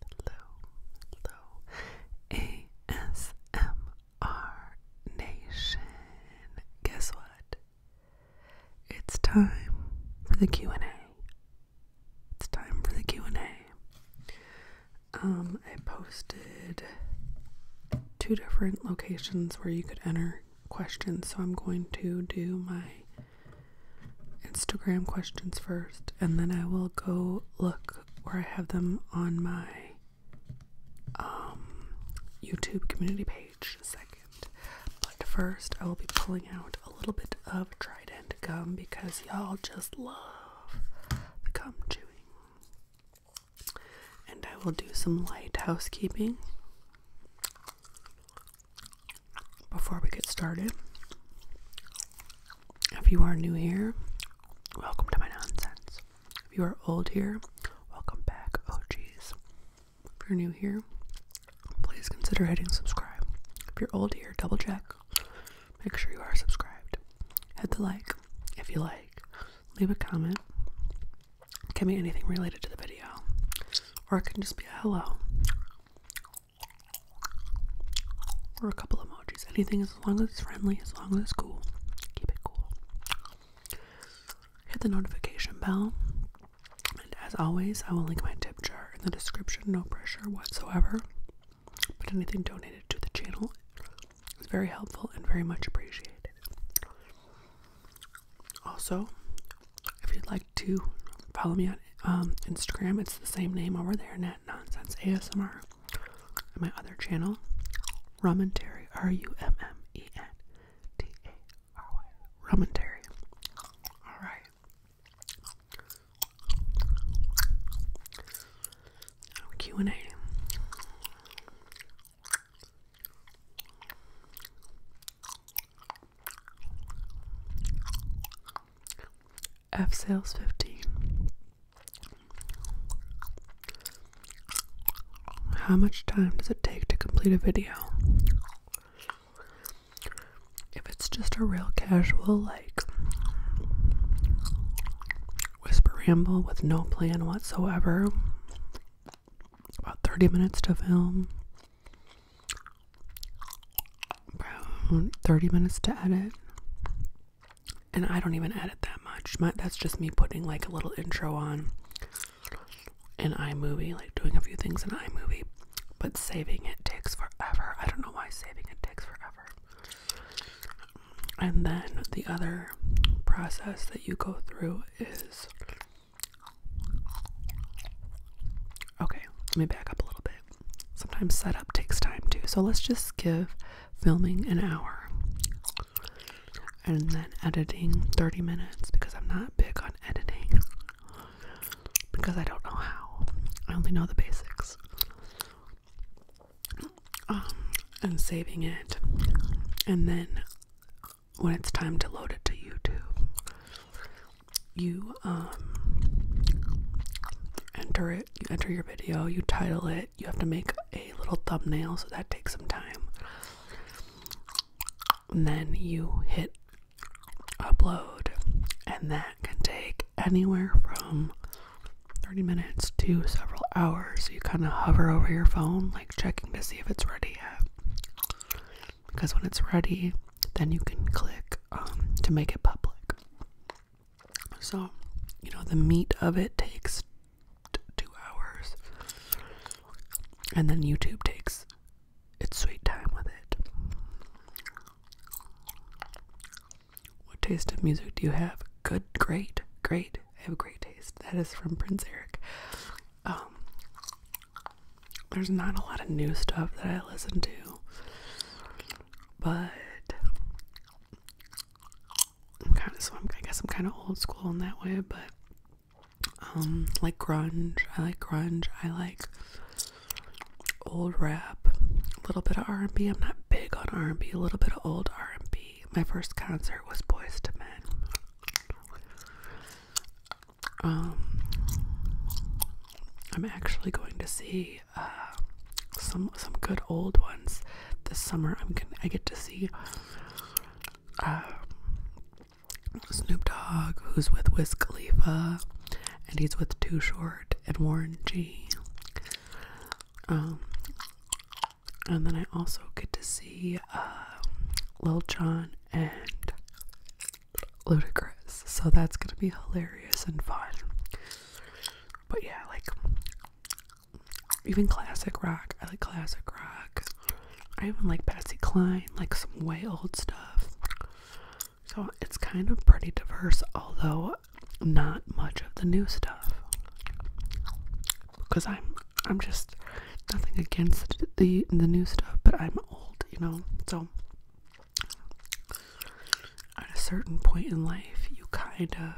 Hello, hello, ASMR Nation. Guess what? It's time for the Q&A. It's time for the Q&A. Um, I posted two different locations where you could enter questions, so I'm going to do my Instagram questions first, and then I will go look where I have them on my um, YouTube community page second. But first, I will be pulling out a little bit of Trident gum because y'all just love the gum chewing. And I will do some light housekeeping. Before we get started, if you are new here, welcome to my nonsense. If you are old here, welcome back. Oh, jeez. If you're new here, please consider hitting subscribe. If you're old here, double check. Make sure you are subscribed. Hit the like if you like. Leave a comment. It can be anything related to the video, or it can just be a hello or a couple emojis. Anything as long as it's friendly, as long as it's cool. Keep it cool. Hit the notification bell. And as always, I will link my tip jar in the description. No pressure whatsoever. But anything donated to the channel is very helpful and very much appreciated. Also, if you'd like to follow me on um, Instagram, it's the same name over there, Nat Nonsense ASMR. my other channel, Rumentary, R U M M E N T A R Y, Rumentary. Alright. Q and A. F sales fifteen. How much time does it take to complete a video? If it's just a real casual, like whisper ramble with no plan whatsoever, about 30 minutes to film. Bro, 30 minutes to edit. And I don't even edit that much. that's just me putting like a little intro on in iMovie, like doing a few things in iMovie. But saving it takes forever. I don't know why saving it takes forever. And then the other process that you go through is Okay, let me back up a little bit. Sometimes setup takes time too, so let's just give filming an hour and then editing 30 minutes because I'm not big on editing because I don't know how. I only know the basics. Um, and saving it, and then when it's time to load it to YouTube, you um enter it you enter your video you title it you have to make a little thumbnail so that takes some time and then you hit upload and that can take anywhere from 30 minutes to several hours So you kind of hover over your phone like checking to see if it's ready yet because when it's ready then you can click um, to make it public. So, you know, the meat of it takes two hours, and then YouTube takes its sweet time with it. What taste of music do you have? Good, great, great. I have great taste. That is from Prince Eric. Um, there's not a lot of new stuff that I listen to, but I'm kind of so i guess I'm kind of old school in that way. But um, like grunge, I like grunge. I like old rap, a little bit of R&B. I'm not big on R&B. A little bit of old R&B. My first concert was Boys to Men. Um, I'm actually going to see uh, some some good old ones this summer. I'm gonna I get to see um, Snoop Dogg, who's with Wiz Khalifa, and he's with Too Short and Warren G. Um, and then I also get to see um, Lil Jon and ludicrous. So that's gonna be hilarious and fun. But yeah, like even classic rock. I like classic rock. I even like Patsy Cline, like some way old stuff. So it's kind of pretty diverse, although not much of the new stuff. Because I'm I'm just nothing against the the new stuff, but I'm old, you know. So at a certain point in life, you kind of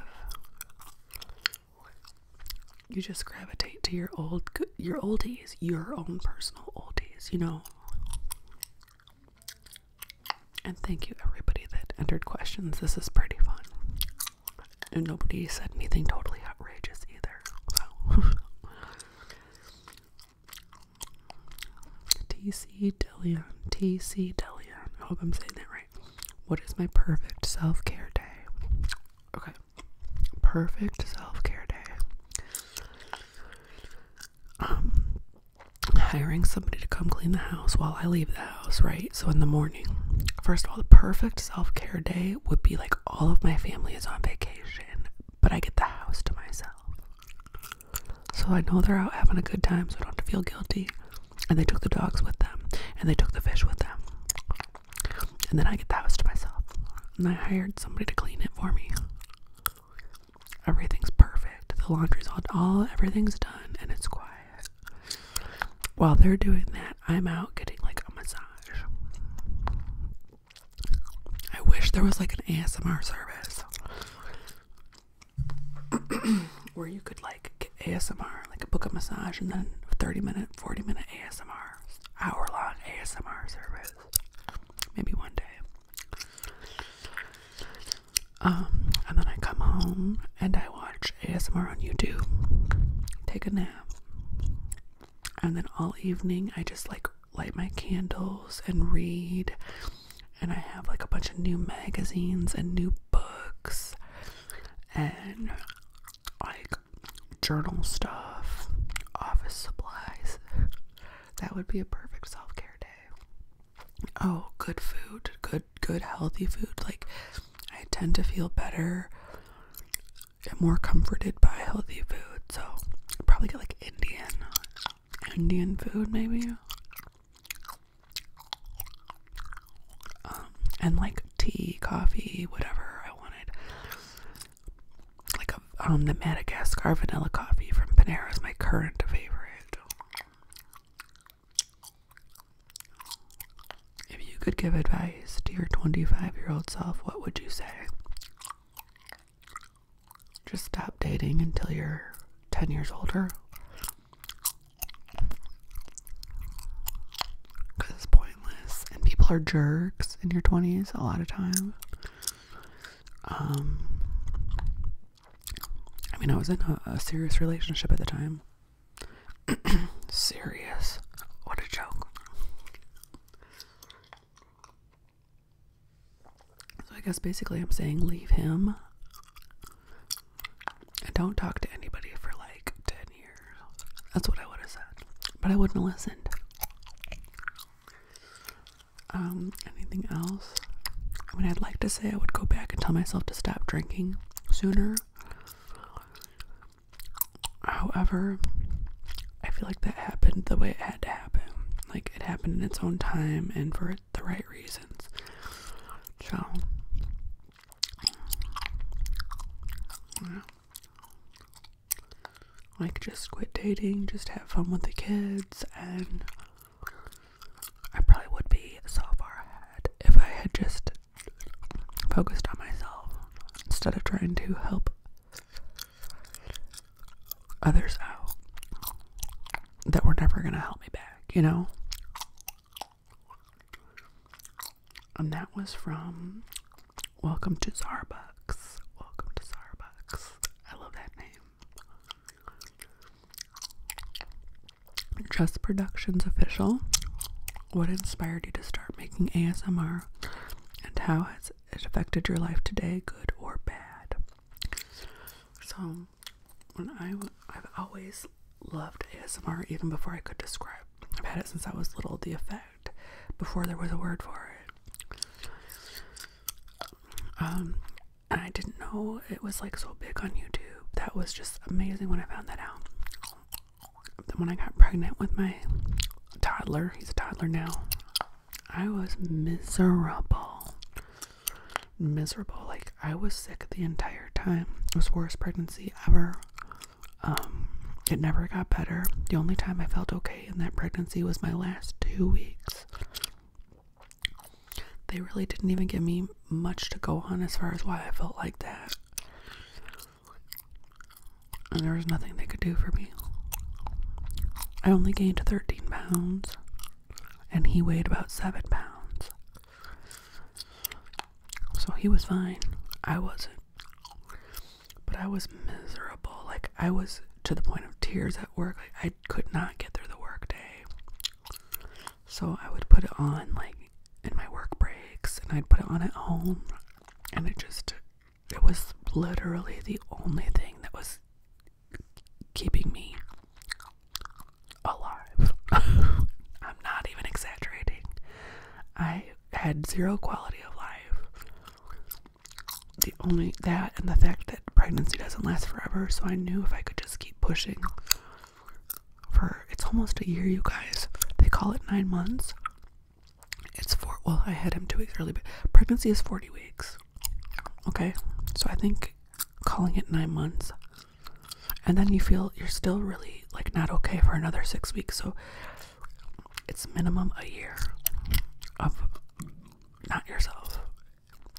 you just gravitate to your old your oldies, your own personal oldies, you know. And thank you everybody that entered questions. This is pretty fun. And nobody said anything totally outrageous either. TC Dillion. TC Dillion. I hope I'm saying that right. What is my perfect self care day? Okay. Perfect self care day. Um, hiring somebody to come clean the house while I leave the house, right? So in the morning. First of all, the perfect self care day would be like all of my family is on vacation, but I get the house to myself. So I know they're out having a good time, so I don't have to feel guilty. And they took the dogs with them, and they took the fish with them. And then I get the house to myself. And I hired somebody to clean it for me. Everything's perfect. The laundry's all, all everything's done, and it's quiet. While they're doing that, I'm out getting like a massage. I wish there was like an ASMR service where you could like get ASMR, like a book a massage and then 30 minute, 40 minute ASMR, hour long ASMR service. Maybe one day. Um, and then I come home and I watch ASMR on YouTube, take a nap, and then all evening I just like light my candles and read and I have like a bunch of new magazines and new books and like journal stuff, office supplies. That would be a perfect self-care day. Oh, good food, good good healthy food. Like I tend to feel better and more comforted by healthy food. So, probably get like Indian Indian food, maybe. Um, and like tea, coffee, whatever I wanted. Like a, um, the Madagascar vanilla coffee from Panera is my current favorite. If you could give advice to your 25 year old self, what would you say? Just stop dating until you're 10 years older. Because it's pointless. And people are jerks in your 20s a lot of times. Um, I mean, I was in a serious relationship at the time. serious. What a joke. So I guess basically I'm saying leave him and don't talk to anybody for like 10 years. That's what I would have said. But I wouldn't have listened. Um, anything else? I mean, I'd like to say I would go back and tell myself to stop drinking sooner. However, I feel like that happened the way it had to happen. Like it happened in its own time and for the right reasons. So, like just quit dating, just have fun with the kids, and I probably would be so far ahead if I had just focused on myself instead of trying to help others out that were never gonna help me back, you know? And that was from Welcome to Starbucks. Welcome to Starbucks. I love that name. Trust Productions Official. What inspired you to start making ASMR? And how has it affected your life today, good or bad. So, when I I've always loved ASMR even before I could describe. I've had it since I was little. The effect before there was a word for it. Um, I didn't know it was like so big on YouTube. That was just amazing when I found that out. Then when I got pregnant with my toddler, he's a toddler now. I was miserable. Miserable. Like, I was sick the entire time. It was worst pregnancy ever. Um, it never got better. The only time I felt okay in that pregnancy was my last two weeks. They really didn't even give me much to go on as far as why I felt like that and there was nothing they could do for me. I only gained 13 pounds, and he weighed about 7 pounds. So he was fine. I wasn't. But I was miserable. Like, I was to the point of tears at work. Like, I could not get through the workday. So I would put it on, like, in my work breaks, and I'd put it on at home, and it just it was literally the only thing that was keeping me alive. I'm not even exaggerating. I had zero quality of life. The only that and the fact that pregnancy doesn't last forever, so I knew if I could just keep pushing for it's almost a year, you guys. They call it nine months. It's four. Well, I had him two weeks early, but pregnancy is 40 weeks. Okay, so I think calling it nine months, and then you feel you're still really like not okay for another six weeks. So it's minimum a year of not yourself,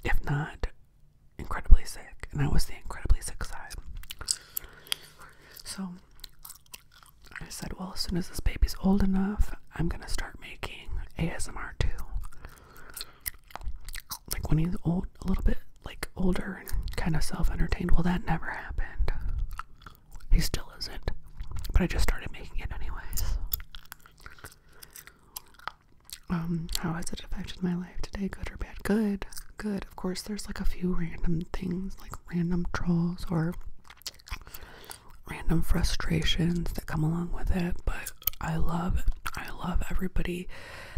if not incredibly sick. And I was the incredibly sick side. So I said, well, as soon as this baby's old enough I'm gonna start making ASMR too. Like when he's old, a little bit like older and kind of self-entertained. Well, that never happened. He still isn't. But I just started making it anyways. Um, how has it affected my life today? Good or bad? Good. Good. Of course, there's like a few random things, like random trolls or random frustrations that come along with it, but I love I love everybody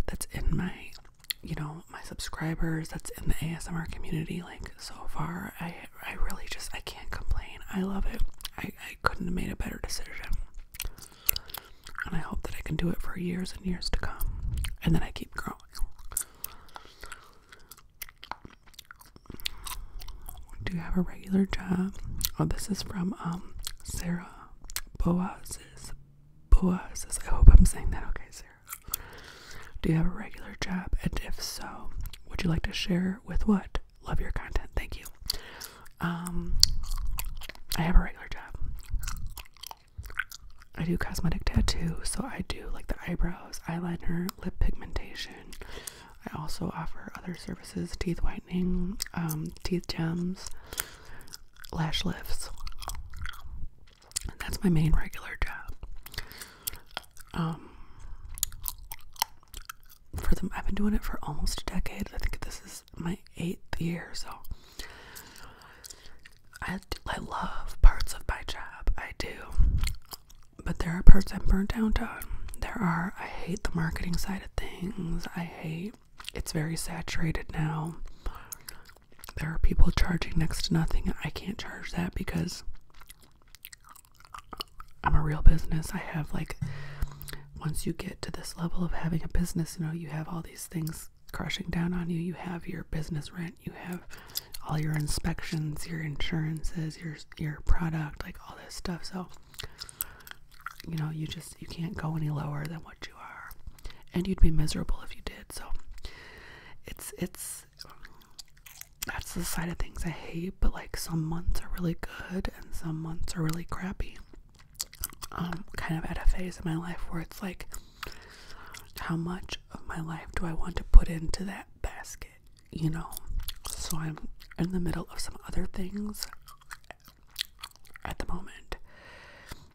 that's in my you know, my subscribers that's in the ASMR community like so far. I I really just I can't complain. I love it. I, I couldn't have made a better decision. And I hope that I can do it for years and years to come. And then I keep growing. Do you have a regular job? Oh, this is from um Sarah Boazes. Boazes. I hope I'm saying that okay, Sarah. Do you have a regular job? And if so, would you like to share with what? Love your content. Thank you. Um, I have a regular job. I do cosmetic tattoo, so I do like the eyebrows, eyeliner, lip pigmentation. I also offer other services teeth whitening, um, teeth gems, lash lifts. That's my main regular job. Um, for them, I've been doing it for almost a decade. I think this is my eighth year, so I, I love parts of my job. I do. But there are parts I'm burnt out on. There are, I hate the marketing side of things. I hate it's very saturated now. There are people charging next to nothing. I can't charge that because I'm a real business. I have like once you get to this level of having a business, you know, you have all these things crushing down on you. You have your business rent, you have all your inspections, your insurances, your your product, like all this stuff. So you know, you just you can't go any lower than what you are, and you'd be miserable if you did. So, it's it's that's the side of things I hate. But like some months are really good and some months are really crappy. I'm um, kind of at a phase in my life where it's like, how much of my life do I want to put into that basket? you know, so I'm in the middle of some other things at the moment.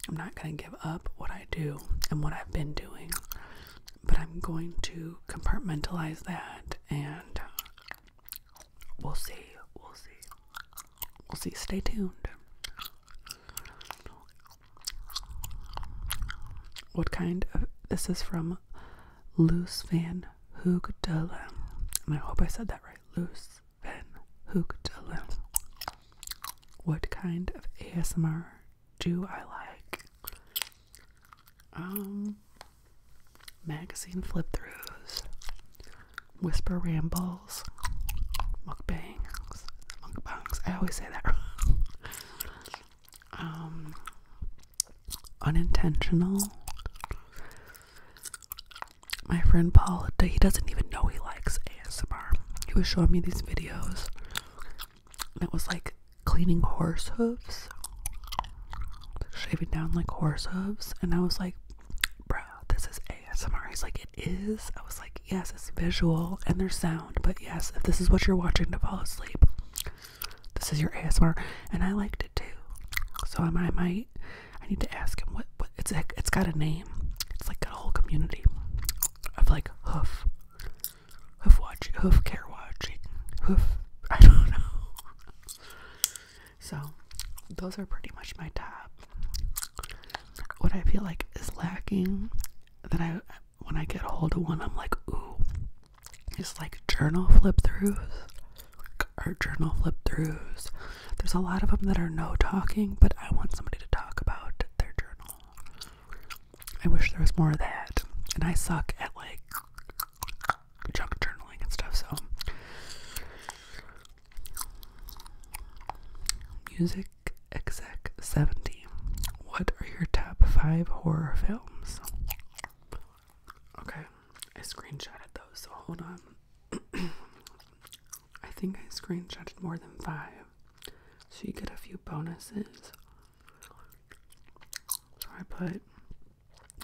I'm not going to give up what I do and what I've been doing, but I'm going to compartmentalize that and uh, we'll see. We'll see. We'll see. Stay tuned. What kind of this is from Loose Van Hoogdalen. And I hope I said that right. Loose Van Hoogdalen. What kind of ASMR do I like? Um, magazine flip throughs, whisper rambles, mukbangs, mukbangs. I always say that Um, unintentional. My friend Paul, he doesn't even know he likes ASMR. He was showing me these videos, and it was like cleaning horse hooves, shaving down like horse hooves, and I was like, bruh, this is ASMR. He's like, it is. I was like, yes, it's visual and there's sound, but yes, if this is what you're watching to fall asleep, this is your ASMR, and I liked it too. So I might, I need to ask him what, it's like, it's got a name. It's like got a whole community of like hoof, hoof watching, hoof care watching, hoof. I don't know. So those are pretty much my top. What I feel like is lacking that I when I get hold of one, I'm like, ooh, it's like journal flip throughs or journal flip throughs. There's a lot of them that are no talking, but I want somebody to talk about their journal. I wish there was more of that. And I suck at like junk journaling and stuff, so. Music Exec 70. What are your top five horror films? Okay, I screenshotted those, so hold on. I think I screenshotted more than five, so you get a few bonuses. So I put,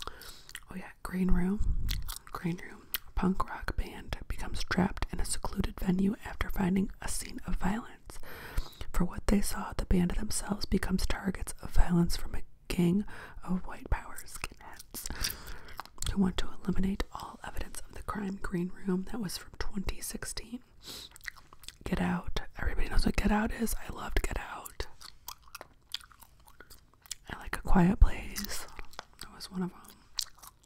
oh yeah, green room, green room. A punk rock band becomes trapped in a secluded venue after finding a scene of violence. For what they saw, the band themselves becomes targets of violence from a King of white power skinheads who want to eliminate all evidence of the crime green room that was from 2016. Get Out. Everybody knows what Get Out is. I loved Get Out. I like A Quiet Place. That was one of them.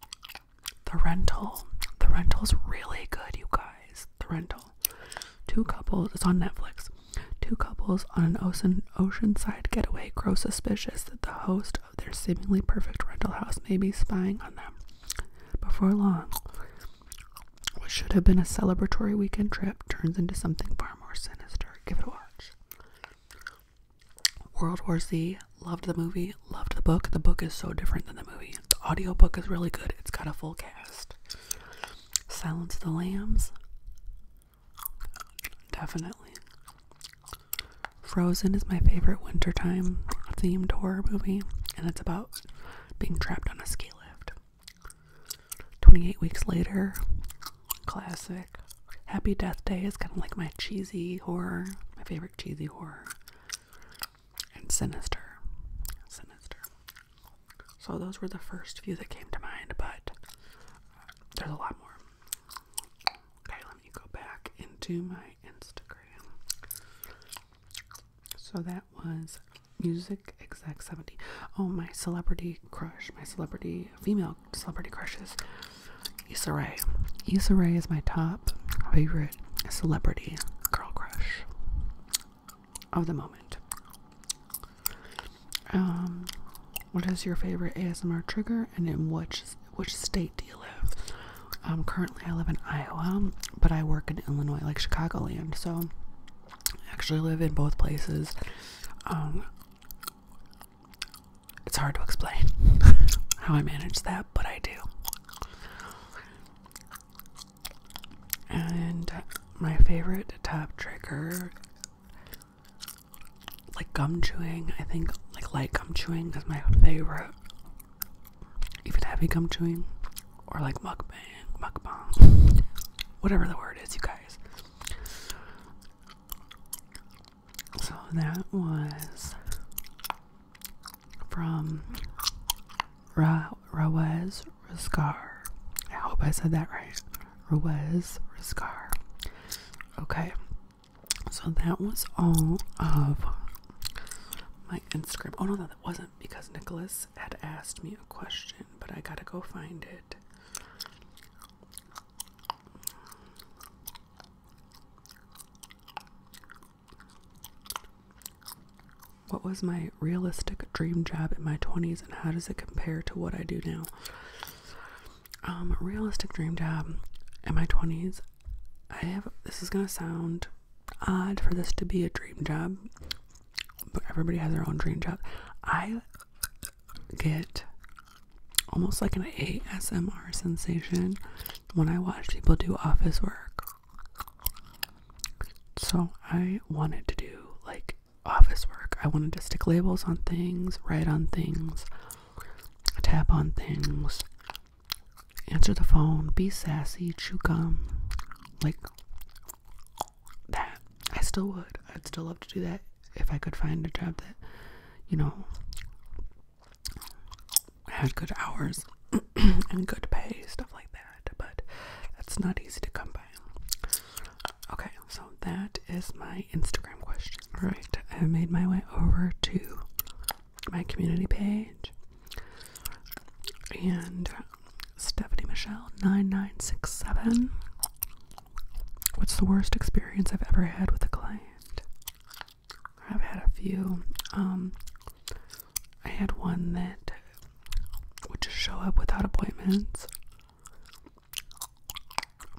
The Rental. The Rental is really good, you guys. The Rental. Two couples, it's on Netflix. Two couples on an ocean oceanside getaway grow suspicious that the host of their seemingly perfect rental house may be spying on them. Before long, what should have been a celebratory weekend trip turns into something far more sinister. Give it a watch. World War Z, loved the movie, loved the book. The book is so different than the movie. The audiobook is really good. It's got a full cast. Silence the Lambs, Definitely. Frozen is my favorite wintertime themed horror movie, and it's about being trapped on a ski lift. 28 Weeks Later, classic. Happy Death Day is kind of like my cheesy horror, my favorite cheesy horror. And Sinister. Sinister. So those were the first few that came to mind, but there's a lot more. Okay, let me go back into my Instagram. So that was music exec 70. Oh, my celebrity crush, my celebrity female celebrity crushes. Issa Rae. Issa Rae is my top favorite celebrity girl crush of the moment. Um, what is your favorite ASMR trigger, and in which which state do you live? Um, currently, I live in Iowa, but I work in Illinois, like Chicagoland. So, I actually live in both places. Um, it's hard to explain how I manage that, but I do. And my favorite top trigger like gum chewing. I think like light gum chewing is my favorite. Even heavy gum chewing, or like mukbang, mukbang, whatever the word is, you guys. So that was from Ra Rawaz Raskar. I hope I said that right. Ruiz Raskar. Okay, so that was all of my Instagram. Oh no, that wasn't because Nicholas had asked me a question, but I gotta go find it. What was my realistic dream job in my 20s and how does it compare to what I do now? Um, realistic dream job in my 20s. I have this is going to sound odd for this to be a dream job, but everybody has their own dream job. I get almost like an ASMR sensation when I watch people do office work. So I wanted to do like office work. I wanted to stick labels on things, write on things, tap on things, answer the phone, be sassy, chew gum, like that. I still would. I'd still love to do that if I could find a job that, you know, had good hours and good pay, stuff like that. But that's not easy to come by. Okay, so that is my Instagram question. All right, I have made my way over to my community page. And uh, Stephanie Michelle 9967. What's the worst experience I've ever had with a client? I've had a few. Um, I had one that would just show up without appointments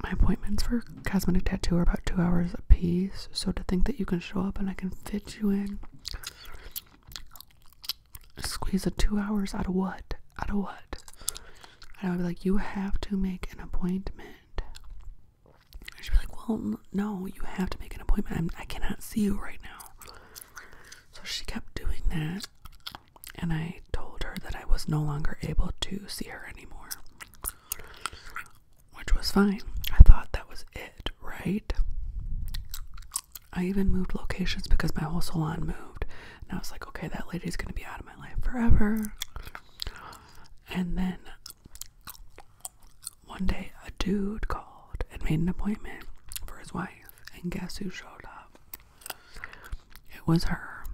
my appointments for cosmetic tattoo are about two hours apiece. so to think that you can show up and I can fit you in, squeeze a two hours out of what? Out of what? And I would be like, you have to make an appointment. she should be like, well, no, you have to make an appointment. I cannot see you right now. So she kept doing that and I told her that I was no longer able to see her anymore. Which was fine. I thought that was it, right? I even moved locations because my whole salon moved. And I was like, okay, that lady's going to be out of my life forever. And then one day a dude called and made an appointment for his wife. And guess who showed up? It was her.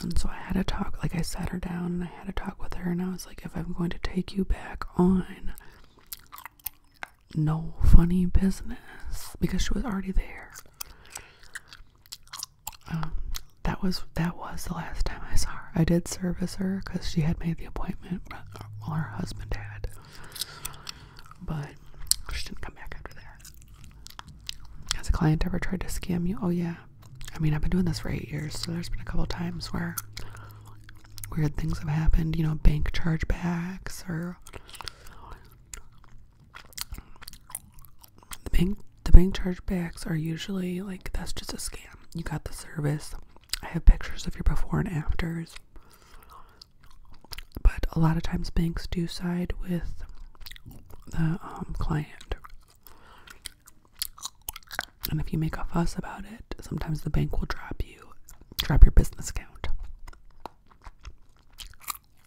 And so I had to talk, like, I sat her down and I had to talk with her, and I was like, if I'm going to take you back on, no funny business, because she was already there. Um, that was that was the last time I saw her. I did service her because she had made the appointment, while her husband had. But just didn't come back after there. Has a client ever tried to scam you? Oh, yeah. I mean, I've been doing this for eight years, so there's been a couple times where weird things have happened, you know, bank chargebacks or the bank the bank chargebacks are usually like that's just a scam. You got the service. I have pictures of your before and afters. But a lot of times banks do side with the um, client. And if you make a fuss about it, sometimes the bank will drop you, drop your business account.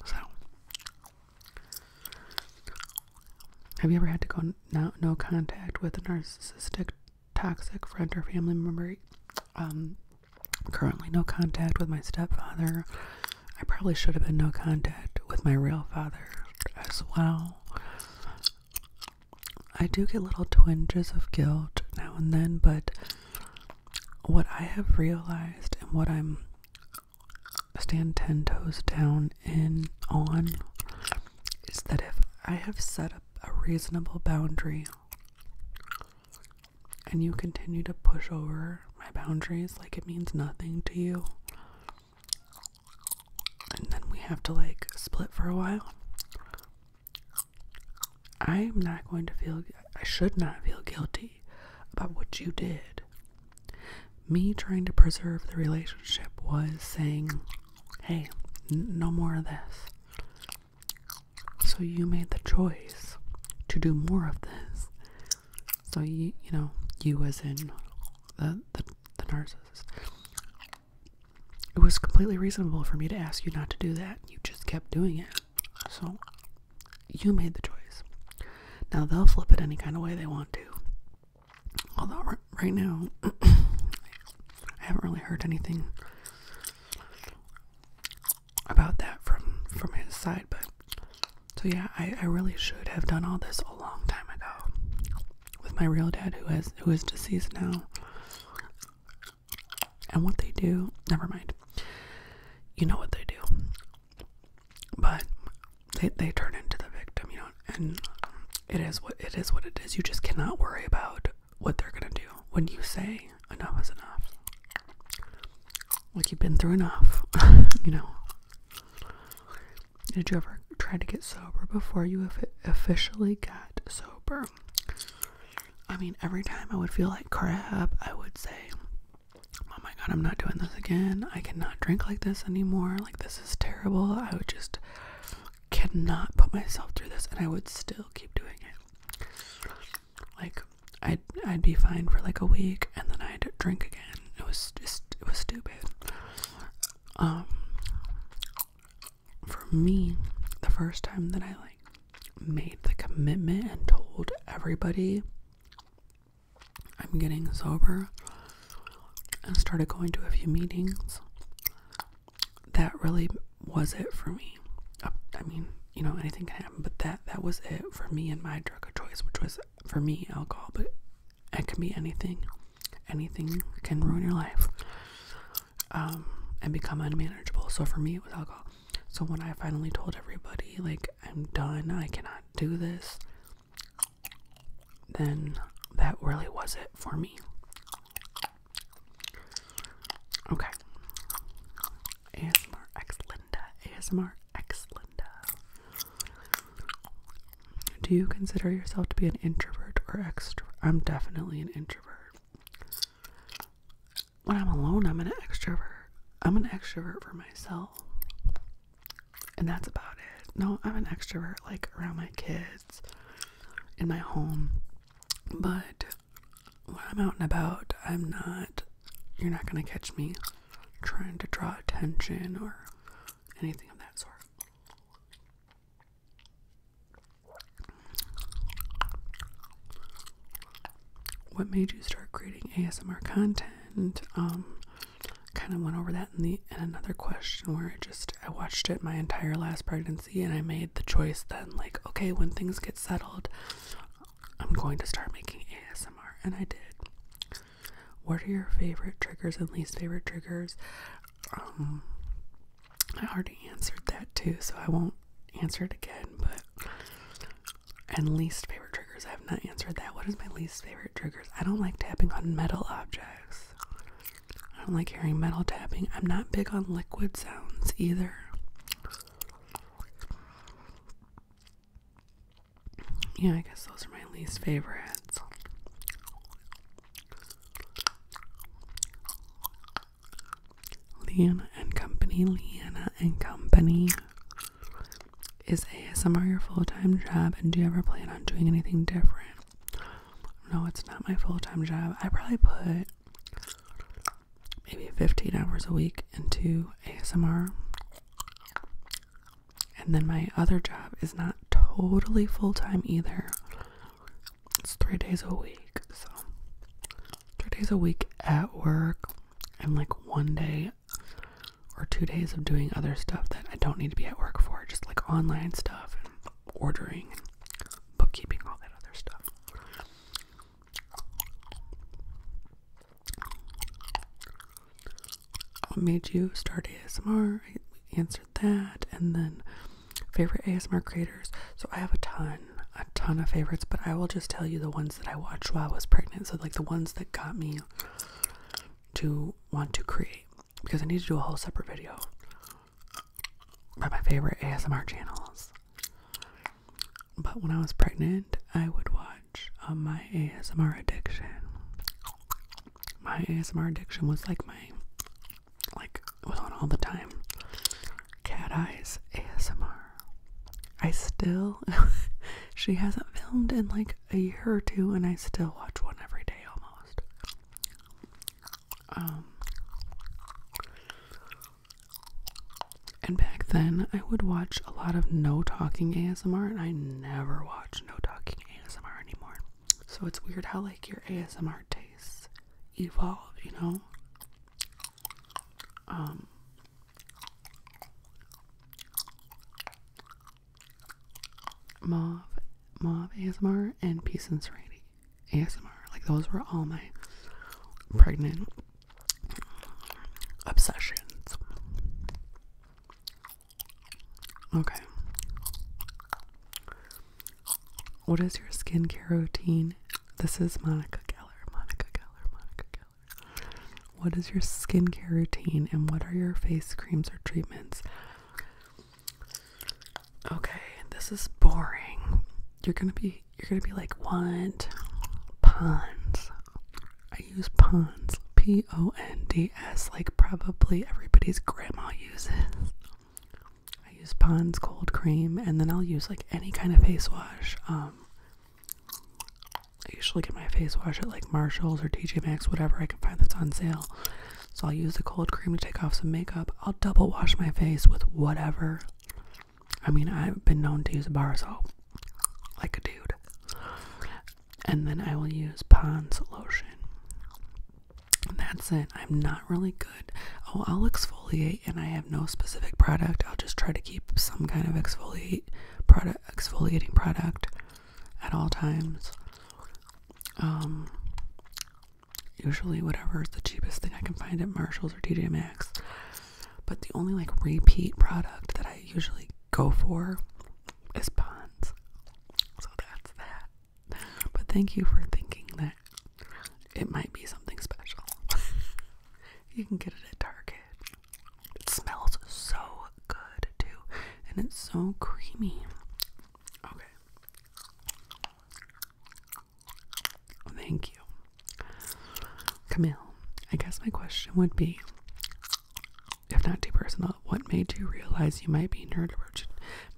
So, have you ever had to go no, contact with a narcissistic, toxic friend or family member? Um, currently no contact with my stepfather. I probably should have been no contact with my real father as well. I do get little twinges of guilt now and then, but what I have realized and what I'm stand 10 toes down in on is that if I have set up a reasonable boundary and you continue to push over my boundaries like it means nothing to you, and then we have to like split for a while, I'm not going to feel, I should not feel guilty about what you did. Me trying to preserve the relationship was saying, hey, no more of this. So you made the choice to do more of this. So you, you know, you as in the, the, the narcissist. It was completely reasonable for me to ask you not to do that. You just kept doing it. So you made the choice. Now they'll flip it any kind of way they want to. Although right now, I haven't really heard anything about that from from his side but so yeah I, I really should have done all this a long time ago with my real dad who has who is deceased now and what they do never mind you know what they do but they, they turn into the victim you know and it is what it is what it is you just cannot worry about what they're gonna do when you say okay, enough is enough. Like you've been through enough, you know. Did you ever try to get sober before you officially got sober? I mean, every time I would feel like crap, I would say, Oh my god, I'm not doing this again. I cannot drink like this anymore. Like, this is terrible. I would just cannot put myself through this, and I would still keep doing it like I'd I'd be fine for like a week and then I'd drink again. It was just it was stupid. Um for me, the first time that I like made the commitment and told everybody I'm getting sober and started going to a few meetings, that really was it for me. I mean, you know, anything can happen, but that that was it for me and my drug of choice, which was for me alcohol, but it can be anything. Anything can ruin your life. Um, and become unmanageable. So for me it was alcohol. So when I finally told everybody like I'm done, I cannot do this, then that really was it for me. Okay. ASMR X Linda. ASMR X Linda. Do you consider yourself to be an introvert or extrovert? I'm definitely an introvert. When I'm alone, I'm an extrovert. I'm an extrovert for myself. And that's about it. No, I'm an extrovert like around my kids in my home. But when I'm out and about, I'm not, you're not going to catch me trying to draw attention or anything of that sort. What made you start creating ASMR content? Um, kind of went over that in the in another question where I just I watched it my entire last pregnancy and I made the choice then like okay when things get settled I'm going to start making ASMR, and I did. What are your favorite triggers and least favorite triggers? Um, I already answered that too, so I won't answer it again. But and least favorite triggers, I have not answered that. What is my least favorite triggers? I don't like tapping on metal objects. I don't like hearing metal tapping. I'm not big on liquid sounds either. Yeah, I guess those are my least favorites. Leanna and Company. Leanna and Company. Is ASMR your full time job? And do you ever plan on doing anything different? No, it's not my full time job. I probably put maybe 15 hours a week into ASMR. And then my other job is not totally full time either. It's three days a week. So, three days a week at work, and like one day or two days of doing other stuff that I don't need to be at work for, just like online stuff and ordering and bookkeeping, all that other stuff. What made you start ASMR? I answered that. And then favorite ASMR creators. So I have a ton, a ton of favorites, but I will just tell you the ones that I watched while I was pregnant. So, like, the ones that got me to want to create because I need to do a whole separate video by my favorite ASMR channels. But when I was pregnant, I would watch um, my ASMR addiction. My ASMR addiction was like my, like, it was on all the time. Cat Eyes ASMR. I still, she hasn't filmed in like a year or two, and I still watch one every day almost. Um, and back then, I would watch a lot of no talking ASMR, and I never watch no talking ASMR anymore. So it's weird how, like, your ASMR tastes evolve, you know? Um. Mauve, Mauve ASMR, and Peace and Serenity ASMR. Like, those were all my pregnant obsessions. Okay. What is your skincare routine? This is Monica Geller. Monica Geller. Monica What is your skincare routine and what are your face creams or treatments? Okay, this is boring. You're going to be you're gonna be like, what? Pons. I use Pons. P O N D S, like probably everybody's grandma uses. I use Pond's cold cream, and then I'll use like any kind of face wash. Um, I usually get my face wash at like Marshalls or TJ Maxx, whatever I can find that's on sale. So I'll use the cold cream to take off some makeup. I'll double wash my face with whatever I mean, I've been known to use a bar soap like a dude. And then I will use Pond's lotion. that's it. I'm not really good. Oh, I'll exfoliate and I have no specific product. I'll just try to keep some kind of exfoliate product exfoliating product at all times. Um usually whatever is the cheapest thing I can find at Marshalls or TJ Maxx. But the only like repeat product that I usually go for is Pond's. So that's that. But thank you for thinking that it might be something special. you can get it at Target. It smells so good too. And it's so creamy. Okay. Thank you. Camille, I guess my question would be if not too personal, what made you realize you might be neurodivergent?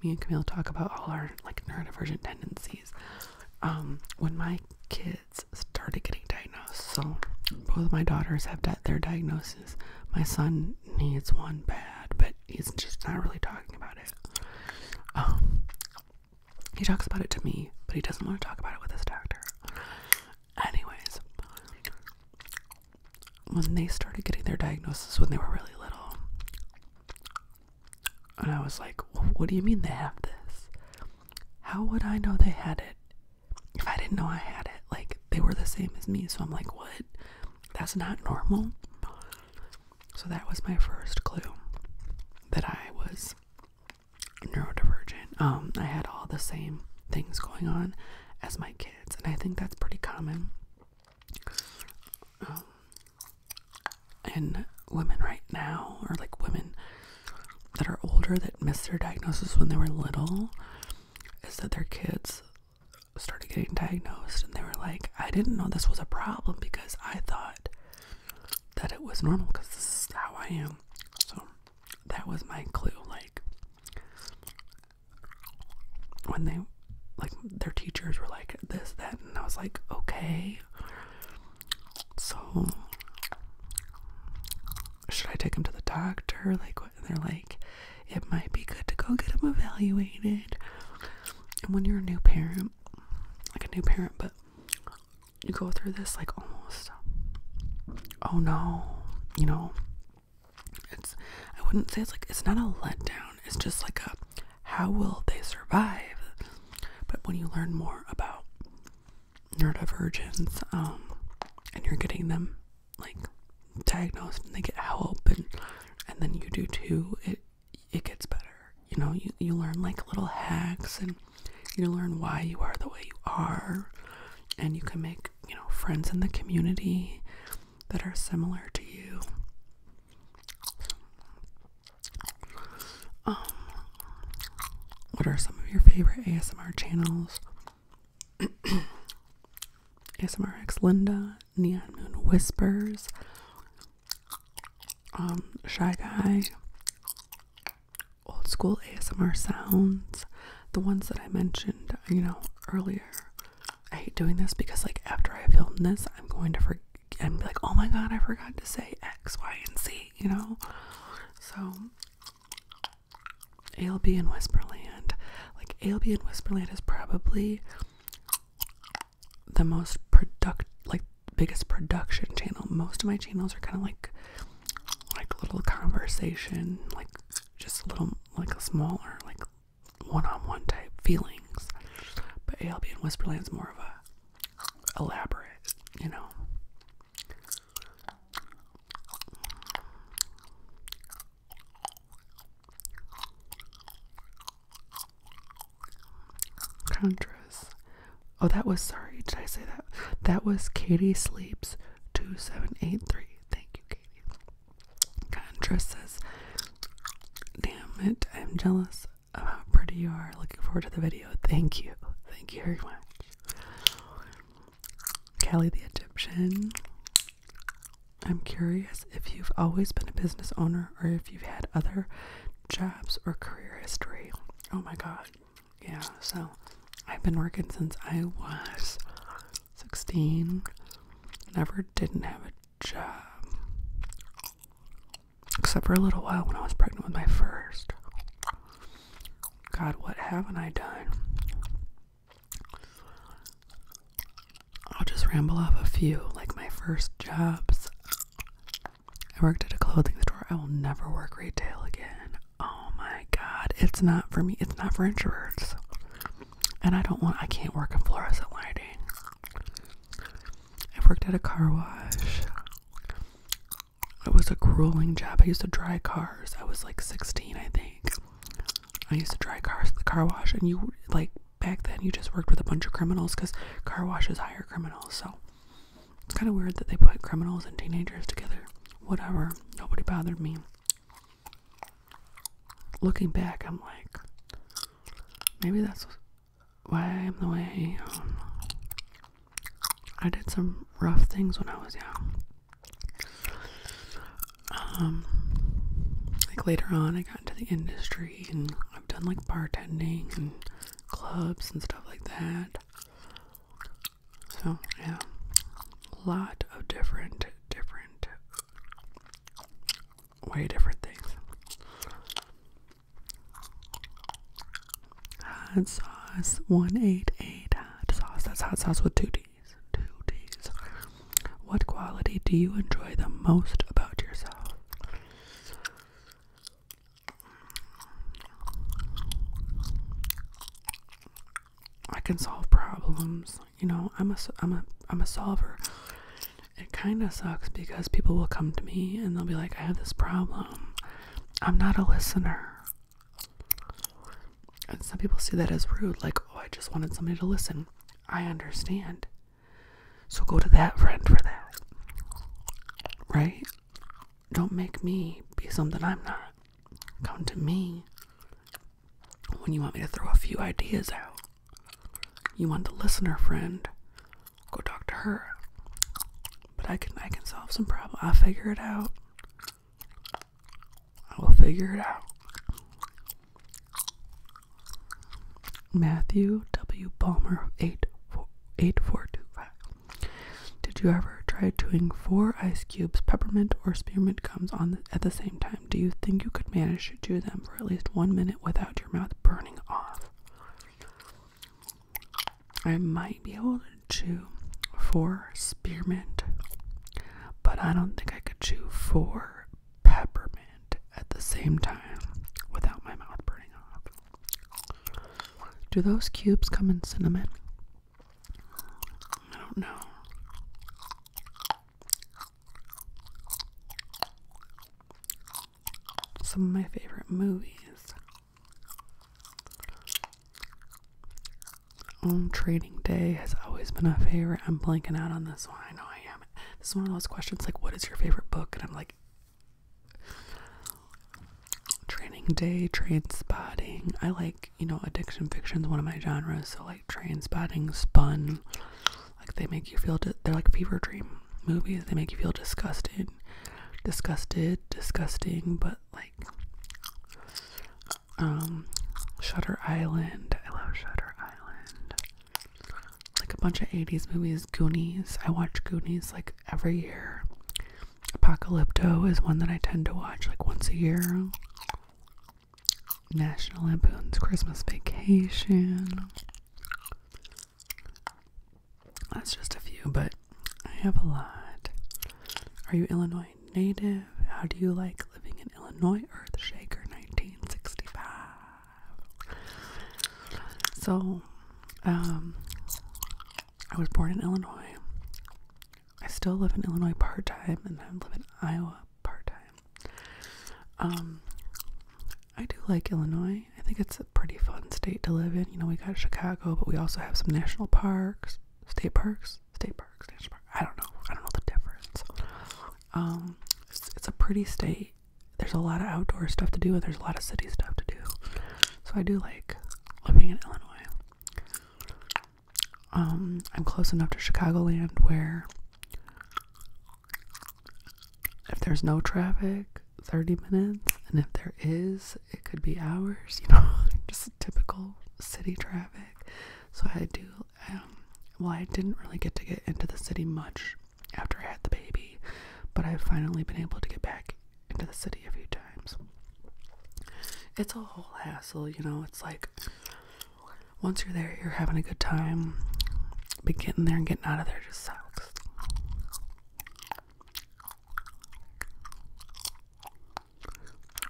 Me and Camille talk about all our like neurodivergent tendencies. Um, when my kids started getting diagnosed, so both my daughters have di their diagnosis. My son needs one bad, but he's just not really talking about it. Um, he talks about it to me, but he doesn't want to talk about it with his doctor. Anyways, when they started getting their diagnosis when they were really little, and I was like, what do you mean they have this? How would I know they had it if I didn't know I had it? Like, they were the same as me, so I'm like, what? That's not normal. So that was my first clue that I was neurodivergent, um, I had all the same things going on as my kids, and I think that's pretty common. Um, and women right now, or like women that are older that missed their diagnosis when they were little, is that their kids started getting diagnosed and they were like, I didn't know this was a problem because I thought that it was normal because this is how I am. So that was my clue. Like when they like their teachers were like this, that, and I was like, okay. So should I take him to the doctor? Like what they're like, it might be good to go get him evaluated. And when you're a new parent, like a new parent, but you go through this like almost oh no you know it's i wouldn't say it's like it's not a letdown it's just like a how will they survive but when you learn more about neurodivergence um and you're getting them like diagnosed and they get help and and then you do too it it gets better you know you, you learn like little hacks and you learn why you are the way you are and you can make you know friends in the community that are similar to you um what are some of your favorite asmr channels asmrx linda neon moon whispers um shy guy old school ASMR sounds, the ones that I mentioned, you know, earlier. I hate doing this because like after I film this, I'm going to forget and be like, "Oh my god, I forgot to say X, Y, and Z," you know? So ALB in Whisperland, like ALB in Whisperland is probably the most product like biggest production channel. Most of my channels are kind of like like little conversation, like just little like a smaller like one-on-one type feelings. But ALB and Whisperland's more of a elaborate, you know. Contras Oh, that was sorry. Did I say that? That was Katie Sleeps 2783. Thank you, Katie. Contra says, Damn it, I'm jealous of how pretty you are. Looking forward to the video. Thank you. Thank you very much. Callie the Egyptian. I'm curious if you've always been a business owner or if you've had other jobs or career history. Oh my god yeah, so I've been working since I was 16. Never didn't have a job. Except for a little while when I was pregnant with my first. God, what haven't I done? I'll just ramble off a few, like my first jobs. I worked at a clothing store. I will never work retail again. Oh my god, it's not for me. It's not for introverts. And I don't want I can't work in fluorescent lighting. I worked at a car wash. It was a grueling job. I used to dry cars. I was like 16, I think. I used to dry cars at the car wash and you like back then you just worked with a bunch of criminals cuz car washes hire criminals. So it's kind of weird that they put criminals and teenagers together. Whatever. Nobody bothered me. Looking back, I'm like, maybe that's why I'm the way I am. I did some rough things when I was young. Um, like later on, I got into the industry and I've done like bartending and clubs and stuff like that. So yeah, a lot of different, different, way different things. Hot sauce, one eight eight hot sauce. That's hot sauce with two D's. Two D's. What quality do you enjoy the most about yourself? I can solve problems. You know, I'm a I'm a I'm a solver. It kind of sucks because people will come to me and they'll be like, "I have this problem." I'm not a listener. And some people see that as rude, like, "Oh, I just wanted somebody to listen." I understand. So go to that friend for that. Right? don't make me be something I'm not. Come to me when you want me to throw a few ideas out. You want the listener friend, go talk to her. But I can I can solve some problems. I'll figure it out. I will figure it out. Matthew W. Balmer eight four eight four two five. Did you ever try chewing four ice cubes, peppermint or spearmint gums on at the same time? Do you think you could manage to chew them for at least one minute without your mouth burning off? I might be able to chew four spearmint, but I don't think I could chew four peppermint at the same time without my mouth burning off. Do those cubes come in cinnamon? I don't know. Some of my favorite movies. Um, Trading Day has always been a favorite. I'm blanking out on this one. I know I am. This is one of those questions like, what is your favorite book? And I'm like, Training Day, Train Spotting. I like, you know, addiction fictions. one of my genres, so like Train Spotting, Spun. Like they make you feel, they're like fever dream movies. They make you feel disgusted, disgusted, disgusting, but like, um, Shutter Island. I love Shutter Island. Like a bunch of 80s movies Goonies. I watch Goonies like every year. Apocalypto is one that I tend to watch like once a year. National Lampoon's Christmas Vacation. That's just a few, but I have a lot. Are you Illinois native? How do you like living in Illinois Earth Shaker 1965? So, um, I was born in Illinois. I still live in Illinois part time, and I live in Iowa part time. Um, I do like Illinois. I think it's a pretty fun state to live in. You know, we got Chicago, but we also have some national parks, state parks, state parks, national park. I don't know. I don't know the difference. Um, it's, it's a pretty state. There's a lot of outdoor stuff to do, and there's a lot of city stuff to do. So I do like living in Illinois. Um, I'm close enough to Chicagoland where if there's no traffic, 30 minutes, and if there is, it could be hours, you know, just typical city traffic. So I do, um, well, I didn't really get to get into the city much after I had the baby, but I've finally been able to get back into the city a few times. It's a whole hassle, you know. It's like once you're there, you're having a good time, but getting there and getting out of there just sucks.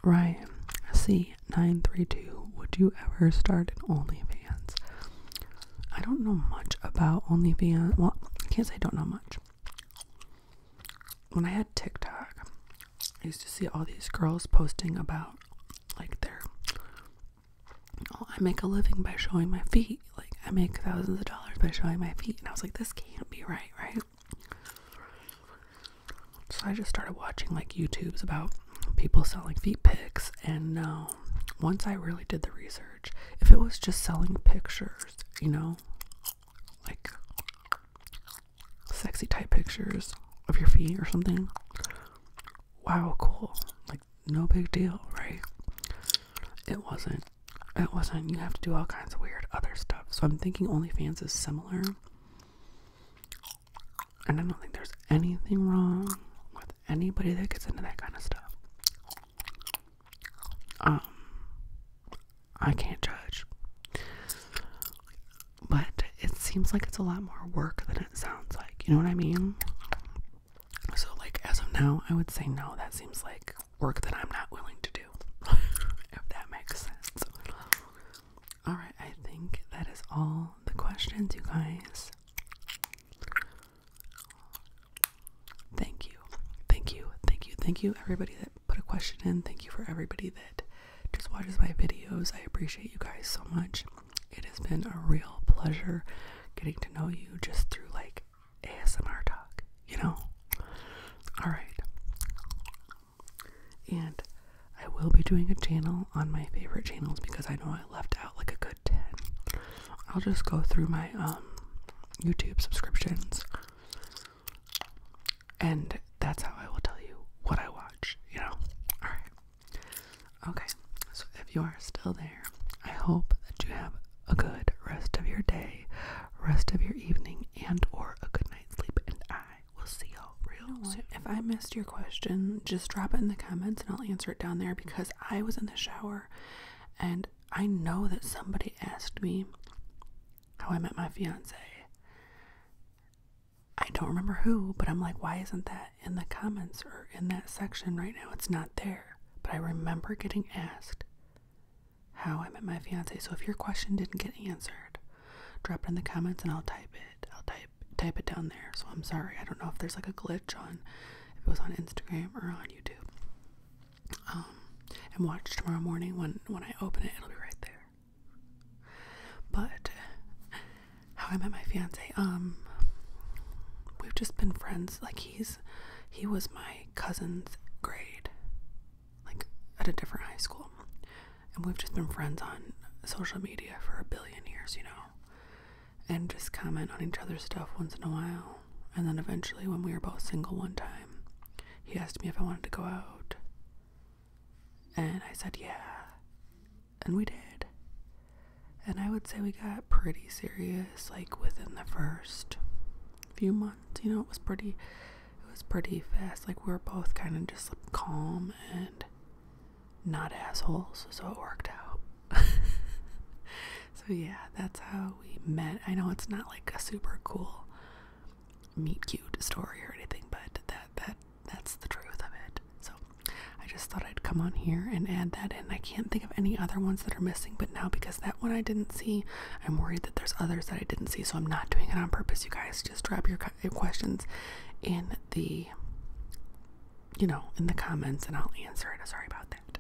Ryan C932, would you ever start an OnlyFans? I don't know much about OnlyFans. Well, I can't say I don't know much when I had TikTok, I used to see all these girls posting about like they're. Oh, I make a living by showing my feet. Like I make thousands of dollars by showing my feet. And I was like, this can't be right, right? So I just started watching like YouTubes about people selling feet pics and um, once I really did the research if it was just selling pictures, you know, like sexy type pictures of your feet or something, wow, cool. Like, no big deal, right? It wasn't. It wasn't. You have to do all kinds of weird other stuff. So I'm thinking OnlyFans is similar. And I don't think there's anything wrong with anybody that gets into that kind of stuff. Um, I can't judge. But it seems like it's a lot more work than it sounds like. You know what I mean? So, like, as of now, I would say no. That seems like work that I'm not willing to do. if that makes sense. Alright, I think that is all the questions, you guys. Thank you. Thank you. Thank you. Thank you, everybody that put a question in. Thank you for everybody that just watches my videos. I appreciate you guys so much. It has been a real pleasure getting to know you just through like ASMR talk, you know? Alright. And I will be doing a channel on my favorite channels because I know I left out like a good 10. I'll just go through my um, YouTube subscriptions and that's how I will tell you what I watch, you know. All right. Okay. So if you are still there, I hope that you have a good rest of your day, rest of your evening and or a good night's sleep and I will see y'all real soon. If I missed your question, just drop it in the comments and I'll answer it down there because I was in the shower and I know that somebody asked me how I met my fiance. I don't remember who, but I'm like, why isn't that in the comments or in that section right now? It's not there. But I remember getting asked how I met my fiance. So if your question didn't get answered, drop it in the comments and I'll type it. I'll type type it down there. So I'm sorry. I don't know if there's like a glitch on if it was on Instagram or on YouTube um, and watch tomorrow morning when when I open it it'll be right there but how I met my fiance um we've just been friends like he's he was my cousin's grade like at a different high school and we've just been friends on social media for a billion years you know and just comment on each other's stuff once in a while and then eventually, when we were both single one time, he asked me if I wanted to go out. And I said, yeah. And we did. And I would say we got pretty serious, like within the first few months. You know, it was pretty, it was pretty fast. Like we were both kind of just calm and not assholes, so it worked out. So yeah, that's how we met. I know it's not like a super cool meet cute story or anything, but that that that's the truth of it. So I just thought I'd come on here and add that in. I can't think of any other ones that are missing, but now because that one I didn't see, I'm worried that there's others that I didn't see, so I'm not doing it on purpose. You guys just drop your questions in the you know, in the comments and I'll answer it. Sorry about that.